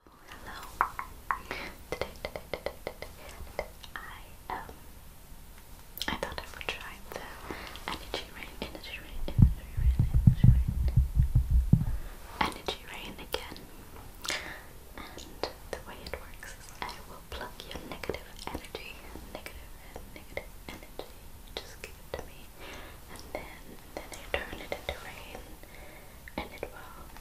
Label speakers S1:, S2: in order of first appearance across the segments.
S1: Hello. Today, today, today, today, today, I um, I thought I would try the energy rain, energy rain, energy rain, energy rain, energy rain again. And the way it works is I will plug your negative energy, negative negative energy. Just give it to me, and then then I turn it into rain and it will,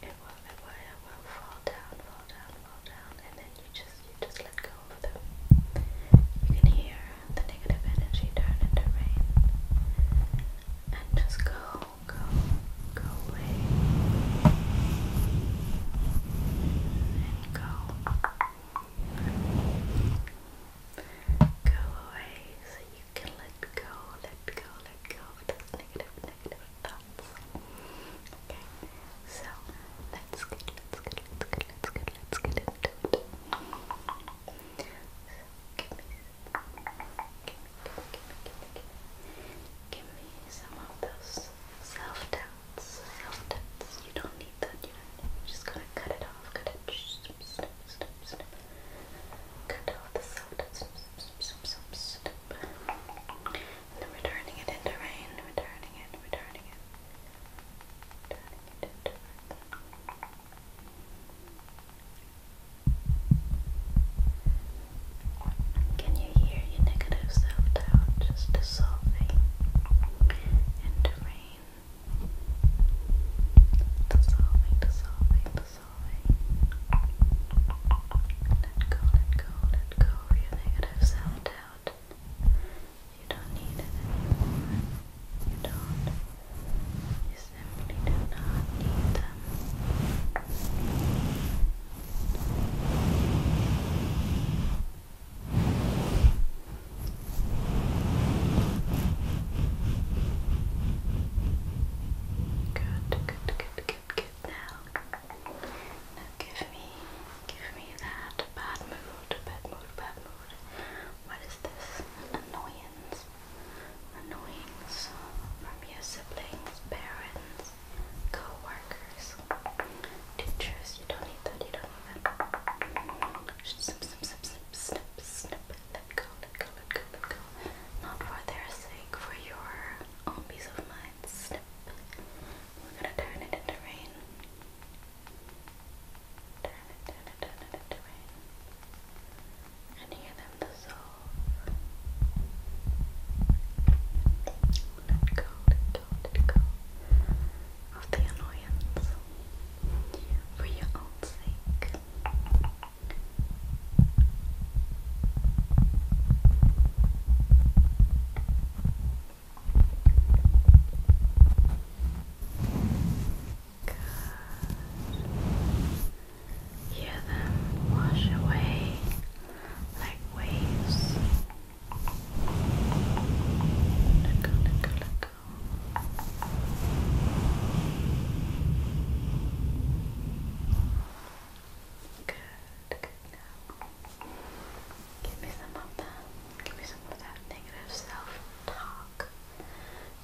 S1: it will, it will, it will fall down, fall down, fall down, and then you just, you just let go of them. You can hear the negative energy turn into rain, and just go, go, go away, go, go away, you you can let go, let go, let go of those negative, negative thoughts. Okay, so let's get, let's get, let's get, let's get, let's get into it. So, give me, give me, give me, give me, give me, some of those self-doubts, self-doubts. You don't need that, you just gonna cut it off, cut it, snip, snip, snip, snip cut all the soda, and then returning it into rain, returning it, returning it, returning it into rain. Can you hear your negative self doubt just dissolving into rain? Dissolving, dissolving, dissolving away. Let go, let go, let go of your negative self doubt. You don't need it anymore. You don't. You simply do not need them. Good, good, good, good, good. Now, now give me, give me that bad mood, bad mood, bad mood. What is this annoyance? Annoyance from your siblings, parents, co teachers. You don't need that. You don't need that. Snip, snip, snip, snip, snip, snip, let go, let go, let go, let go. Not for their sake, for your own peace of mind. Snip. We're gonna turn it into rain. Turn it, turn it, turn it into rain. And hear them dissolve. Let go, let go, let go of the annoyance. For your own sake. Good. Hear them wash away like waves. Look, look, look. Good, Give me some of that. Give me some of that negative self-talk.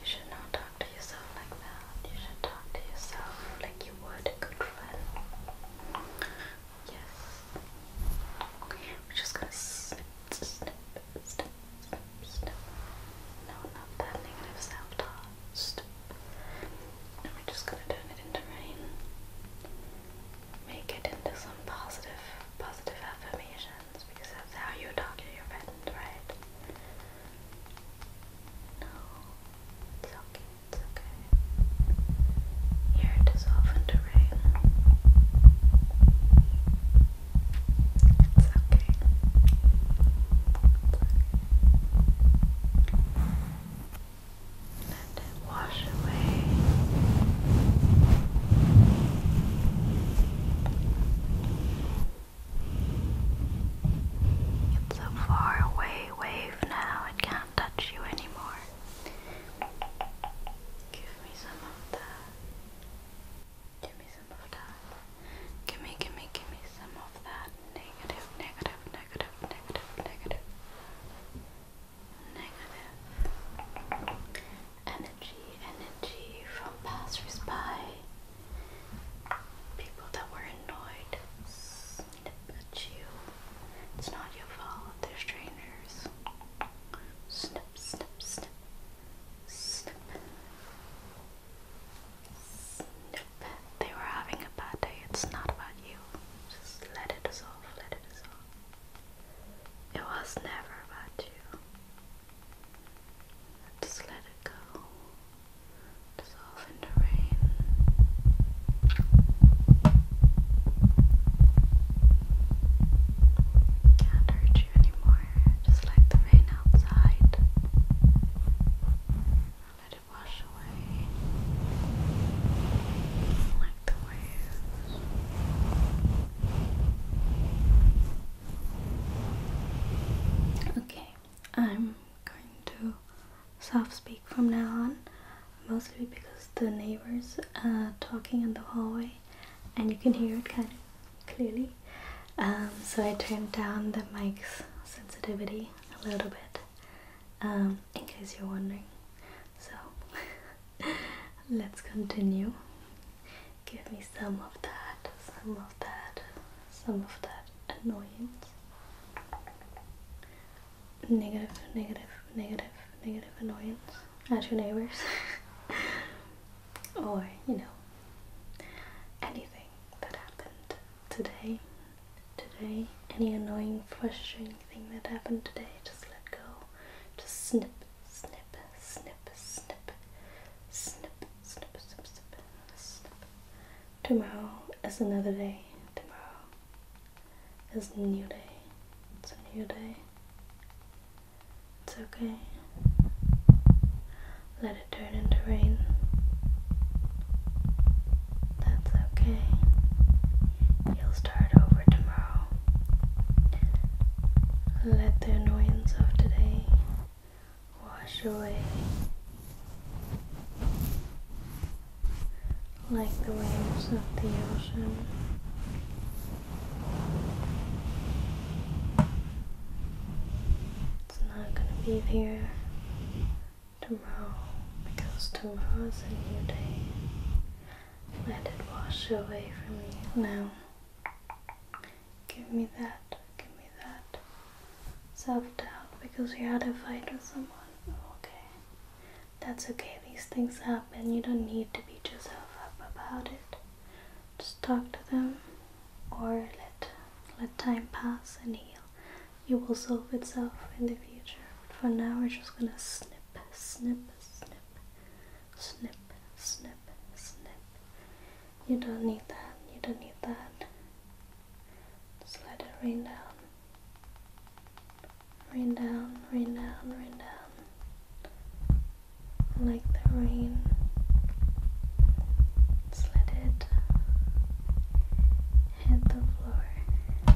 S1: You should not talk to yourself like that. You should talk to yourself like you would good friend. Yes. We're just gonna snip, no, not that negative self-talk. And we're just gonna turn it into rain. Make it into some positive, positive affirmations because that's how you talk to your friends, right? No, it's okay, it's okay. Here it dissolves into rain. It's okay. Let it wash away. It's a far wave now, it can't touch you anymore. Give me some of that. Give me some of that. Give me, give me, give me some of that negative, negative, negative, negative, negative, negative energy, energy from passersby, people that were annoyed, snip at you. It's not your fault. They're strangers. Snip, snip, snip. Snip. Snip. They were having a bad day. It's not about you. Just let it dissolve. Let it dissolve. It was never about you. Just let it go. Dissolve into the rain. Gather anymore, just like the rain outside. Let it wash away like the waves. Okay, I'm going to soft speak from now on, mostly because the neighbors are talking in the hallway and you can hear it kind of clearly. Um, so I turned down the mic's sensitivity a little bit um, in case you're wondering. So let's continue. Give me some of that, some of that, some of that annoyance. Negative, negative, negative, negative annoyance at your neighbors or you know anything that happened today today any annoying frustrating thing that happened today just let go just snip snip snip snip snip snip snip snip snip tomorrow is another day tomorrow is a new day it's a new day it's okay. Let it turn into rain. That's okay. You'll start over tomorrow. Let the annoyance of today wash away like the waves of the ocean. It's not going to be there tomorrow because tomorrow a new day. Let it wash away from you now. Give me that, give me that self doubt because you had a fight with someone. Okay, that's okay, these things happen. You don't need to beat yourself up about it. Just talk to them or let let time pass and heal. It will solve itself in the future. But for now we're just gonna snip, snip, snip, snip, snip, snip. You don't need that, you don't need that. Just let it rain down. Rain down, rain down, rain down. Like the rain. let it hit the floor.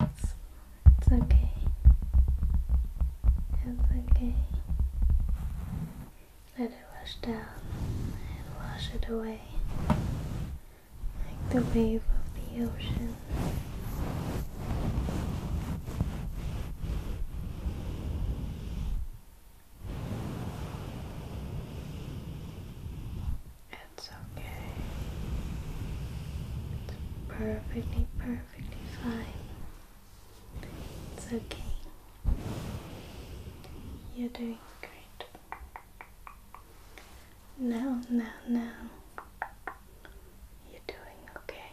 S1: It's, okay. It's okay. Let it rush down and wash it away like the wave of the ocean. It's okay. It's perfectly, perfectly fine. It's okay. You're doing great. Now, now, now. You're doing okay.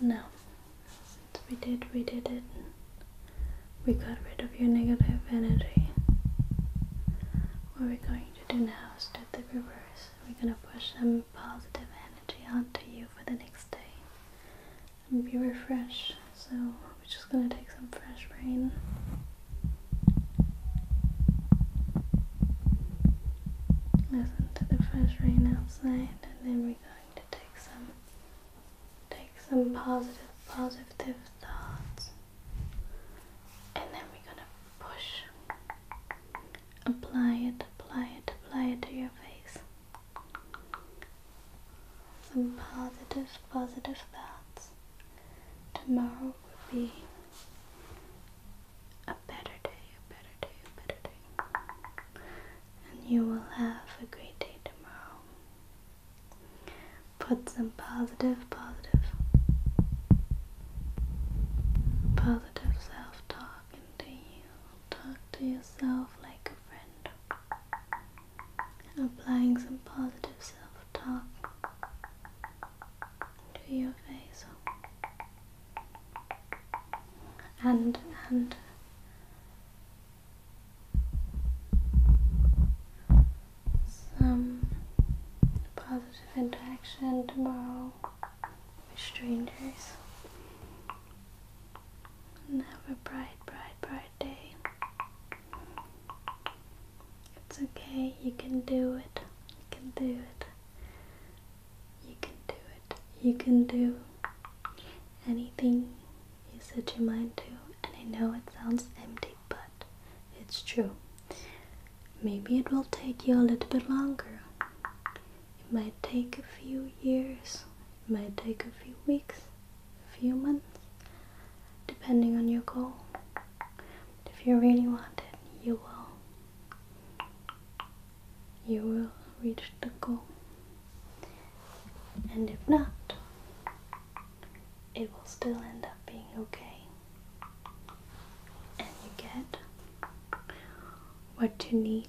S1: Now, since we did, we did it. We got rid of your negative energy. What we're going to do now is do the reverse. We're going to push some positive energy onto you for the next day and be refreshed. So we're just gonna take some fresh rain. Listen to the fresh rain outside, and then we're going to take some take some positive positive thoughts, and then we're gonna push, apply it, apply it, apply it to your face some positive, positive thoughts. Tomorrow will be a better day, a better day, a better day. And you will have a great day tomorrow. Put some positive, positive, positive self talk into you. Talk to yourself like friend. Applying some positive self talk to your face and and some positive interaction tomorrow with strangers have a bright, bright, bright day. It's okay, you can do it. You can do it. You can do it. You can do anything you set your mind to. And I know it sounds empty, but it's true. Maybe it will take you a little bit longer. It might take a few years, it might take a few weeks, a few months, depending on your goal. But if you really want it, you will. You will reach the goal. And if not, it will still end up being okay. And you get what you need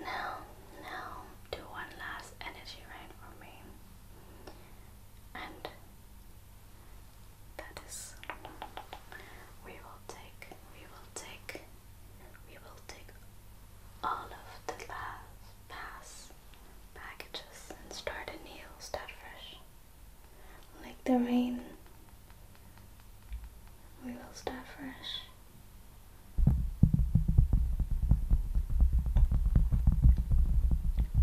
S1: Now, now, do one last energy rain for me. And that is we will take we will take we will take all of the last pass packages and start a new start fresh. Like the rain, we will start fresh.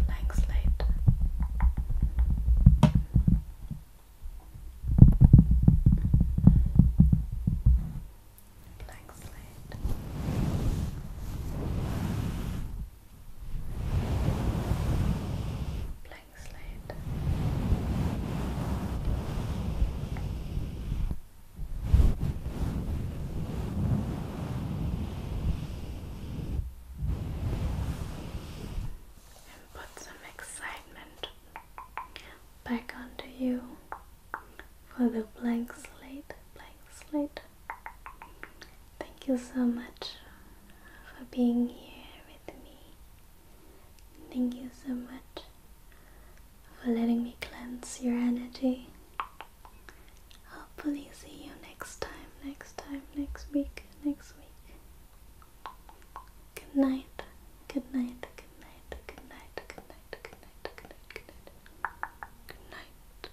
S1: Blank slate. Blank slate blank And put some excitement back onto you for the blank slate, blank slate, Thank you so much for being here with me. Thank you so much for letting me cleanse your energy. Hopefully, see you next time, next time, next week, next week. Good night, good night, good night, good night, good night, good night, good night, good night, good night.